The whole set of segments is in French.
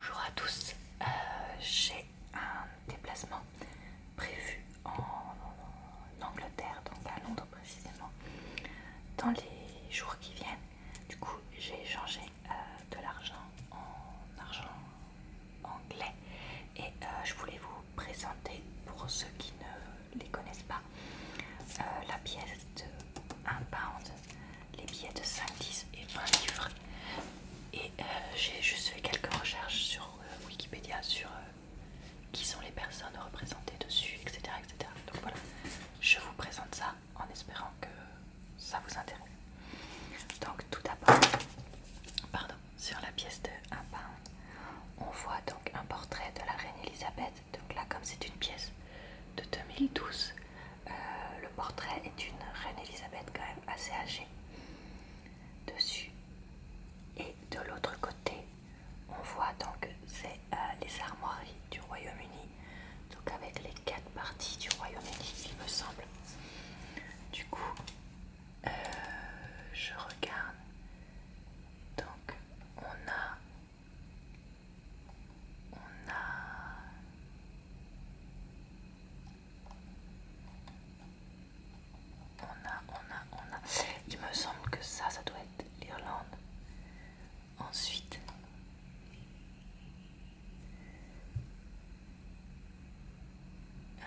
Bonjour à tous, euh, j'ai un déplacement prévu en, Angleterre, donc à Londres précisément, dans les jours qui viennent. Du coup, j'ai changé euh, de l'argent en argent anglais et euh, je voulais vous présenter pour ceux qui ne les connaissent pas la pièce de 1 pound les billets de 5, 10 et 20 livres. Et euh, j'ai juste fait quelques recherches sur euh, Wikipédia sur euh, qui sont les personnes représentées dessus, etc., etc. Donc voilà, je vous présente ça en espérant que ça vous intéresse. Donc tout d'abord, pardon, sur la pièce de 1 pound, on voit donc un portrait de la reine Elisabeth. Donc là, comme c'est une pièce de 2012, euh, le portrait est une reine Elisabeth quand même assez âgée. Dessus et de l'autre côté, on voit donc c'est euh, les armoiries du Royaume-Uni, donc avec les quatre parties du Royaume-Uni, il me semble. Du coup, euh, je regarde. Donc, on a on a on a, on a, on a. Il me semble que ça, ça doit être l'Irlande. Ensuite, euh,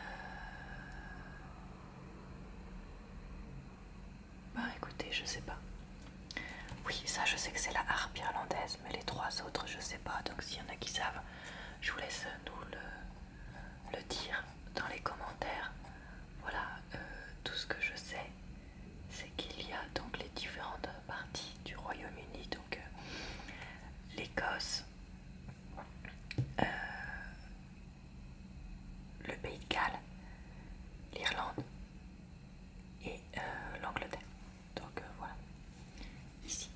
bah écoutez, je sais pas. Oui, ça je sais que c'est la harpe irlandaise, mais les trois autres je sais pas. Donc s'il y en a qui savent, je vous laisse nous le, dire dans les commentaires. Voilà, euh, tout ce que je sais, c'est qu'il y a donc les différentes parties du Royaume-Uni, donc euh, l'Écosse, euh, le Pays de Galles, l'Irlande, et euh, l'Angleterre. Donc euh, voilà, ici.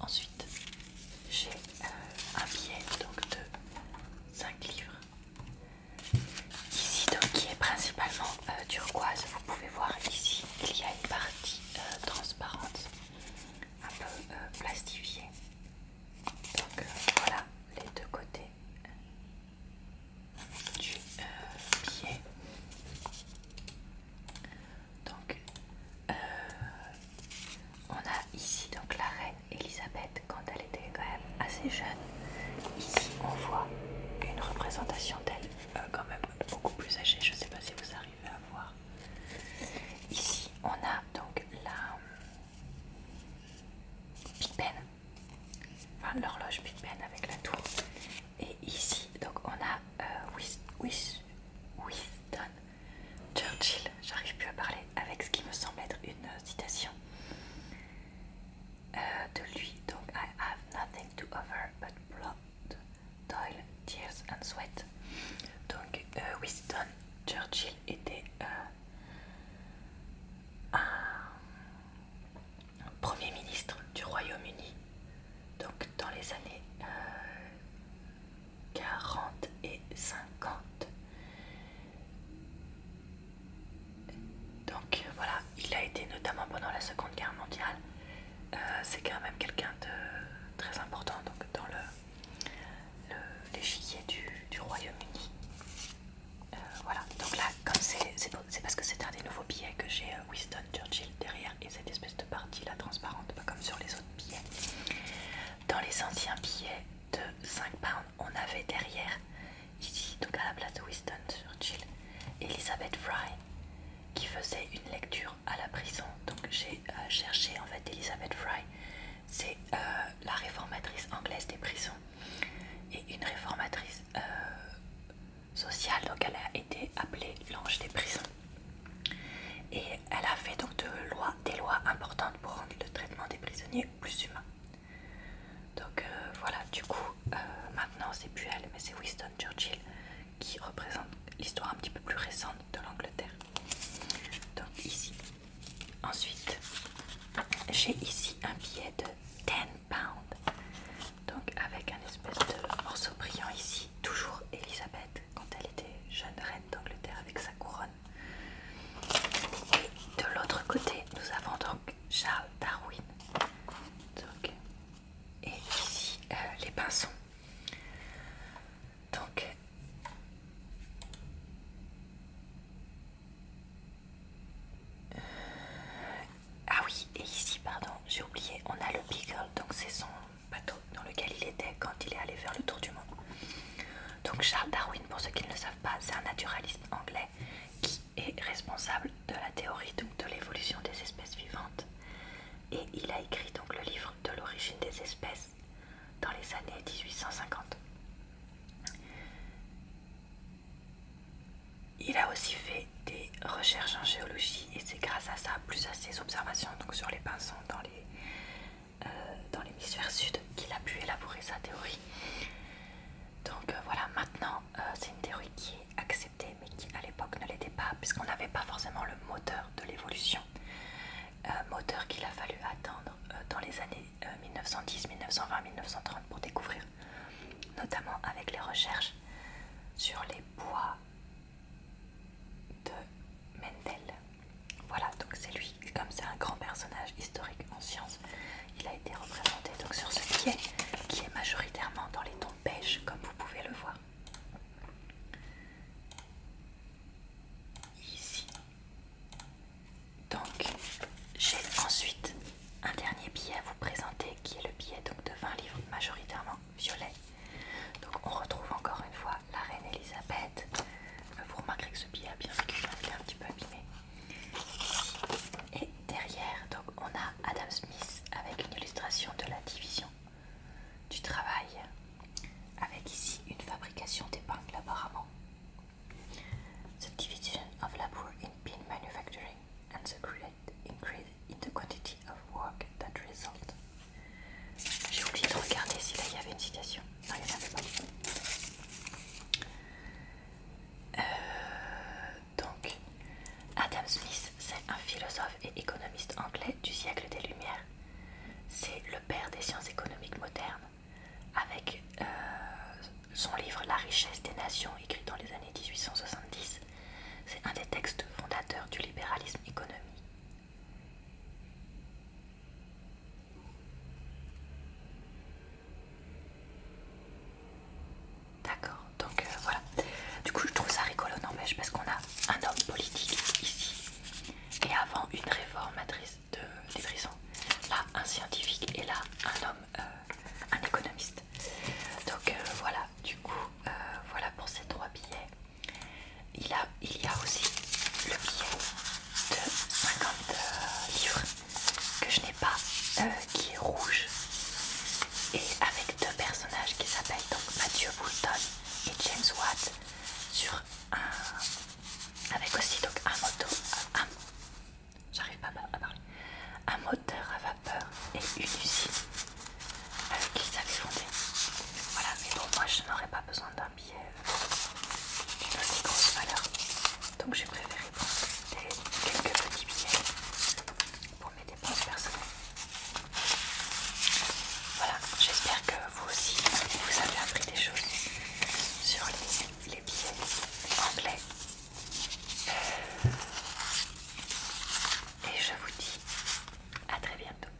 Ensuite, j'ai euh, un billet donc, de 5 livres. Ici, donc, qui est principalement turquoise, vous pouvez voir ici il y a une partie transparente, un peu plastifiée. Donc euh, voilà les deux côtés du euh, pied Donc euh, on a ici donc la reine Elisabeth quand elle était quand même assez jeune. Ici on voit une représentation d'elle quand même beaucoup plus âgée. Je ne sais pas si vous arrivez à voir. Ici on a donc la Big Ben, enfin l'horloge Big Ben avec la tour. Et ici, donc on a euh, Winston Churchill, j'arrive plus à parler, avec ce qui me semble être une citation euh, de lui. Donc, I have nothing to offer but blood, toil, tears and sweat. Donc, euh, Winston Churchill était euh, un Premier ministre du Royaume-Uni, donc dans les années 40 euh, et 50. Donc voilà, il a été notamment pendant la Seconde Guerre mondiale. Euh, c'est quand même quelqu'un de très important donc, dans le les du, du Royaume-Uni. Euh, voilà, donc là, comme c'est parce que c'est un des nouveaux billets que j'ai euh, Winston Churchill derrière et cette espèce de partie là transparente, pas comme sur les autres billets. Dans les anciens billets de 5 pounds, on avait derrière, ici, donc à la place de Winston Churchill, Elizabeth Fry, qui faisait une lecture à la prison. Donc j'ai euh, cherché en fait Elizabeth Fry, c'est euh, la réformatrice anglaise des prisons et une réformatrice euh, sociale, donc elle a été appelée l'ange des prisons. Et elle a fait donc des lois importantes pour rendre le traitement des prisonniers plus humain. Donc voilà, du coup, maintenant c'est plus elle, mais c'est Winston Churchill qui représente l'histoire un petit peu plus récente de l'Angleterre. Donc ici. Ensuite, j'ai ici un billet de 10 pounds. Donc avec un espèce de morceau brillant ici. Toujours Elisabeth quand elle était jeune reine d'Angleterre avec sa couronne. Et de l'autre côté, nous avons donc Charles Darwin. et ici, euh, les pinsons donc, euh, ah oui, et ici, pardon, j'ai oublié, on a le Beagle, donc c'est son bateau dans lequel il était quand il est allé faire le tour du monde. Donc Charles Darwin, pour ceux qui ne le savent pas, c'est un naturaliste anglais qui est responsable de la théorie donc, de l'évolution des espèces vivantes et il a écrit donc le livre de l'origine des espèces dans les années 1850. Il a aussi fait des recherches en géologie et c'est grâce à ça, plus à ses observations donc sur les pinsons dans les euh, dans l'hémisphère sud qu'il a pu élaborer sa théorie. Donc euh, voilà, maintenant euh, c'est une théorie qui est axée mais qui à l'époque ne l'était pas puisqu'on n'avait pas forcément le moteur de l'évolution, euh, moteur qu'il a fallu attendre euh, dans les années 1910, 1920, 1930 pour découvrir, notamment avec les recherches sur les bois de Mendel. Voilà, donc c'est lui, comme c'est un grand personnage historique en science, il a été représenté donc sur ce billet, qui est majoritairement dans les tons beige comme vous pouvez le voir. Ici. Donc j'ai ensuite un dernier billet à vous présenter qui est le billet de 20 livres majoritairement violet. Donc on retrouve encore une fois la reine Elisabeth. Vous remarquerez que ce billet a bien vécu, il est un petit peu abîmé. Et derrière, donc on a Adam Smith avec une illustration de la division du travail, avec ici une fabrication d'épingles apparemment. The division of labor in pin manufacturing and the great increase in the quantity of work that result. J'ai oublié de regarder si là il y avait une citation. Non, il n'y pas. Euh, donc, Adam Smith, c'est un philosophe et économiste anglais du siècle des Lumières. C'est le père des sciences économiques modernes, avec euh, son livre La richesse des nations, écrit dans les années 1870. C'est un des textes fondateurs du libéralisme économique. D'accord, donc euh, voilà. Du coup, je trouve ça rigolo, n'empêche, parce qu'on a un homme politique ici, et avant une réformatrice de des prisons, là un scientifique, et là un homme, euh, un économiste. Donc euh, voilà, du coup, voilà pour ces trois billets. Il, a, il y a aussi le billet de 50 livres que je n'ai pas, euh, qui est rouge et avec deux personnages qui s'appellent donc Mathieu Boulton et James Watt sur un avec aussi donc un moto j'arrive pas à parler un moteur à vapeur et une usine avec euh, qu'ils avaient voilà mais bon moi je n'aurais pas besoin d'un une aussi grosse valeur. Donc j'ai préféré prendre quelques petits billets pour mes dépenses personnelles. Voilà, j'espère que vous aussi vous avez appris des choses sur les, billets anglais. Euh, et je vous dis à très bientôt.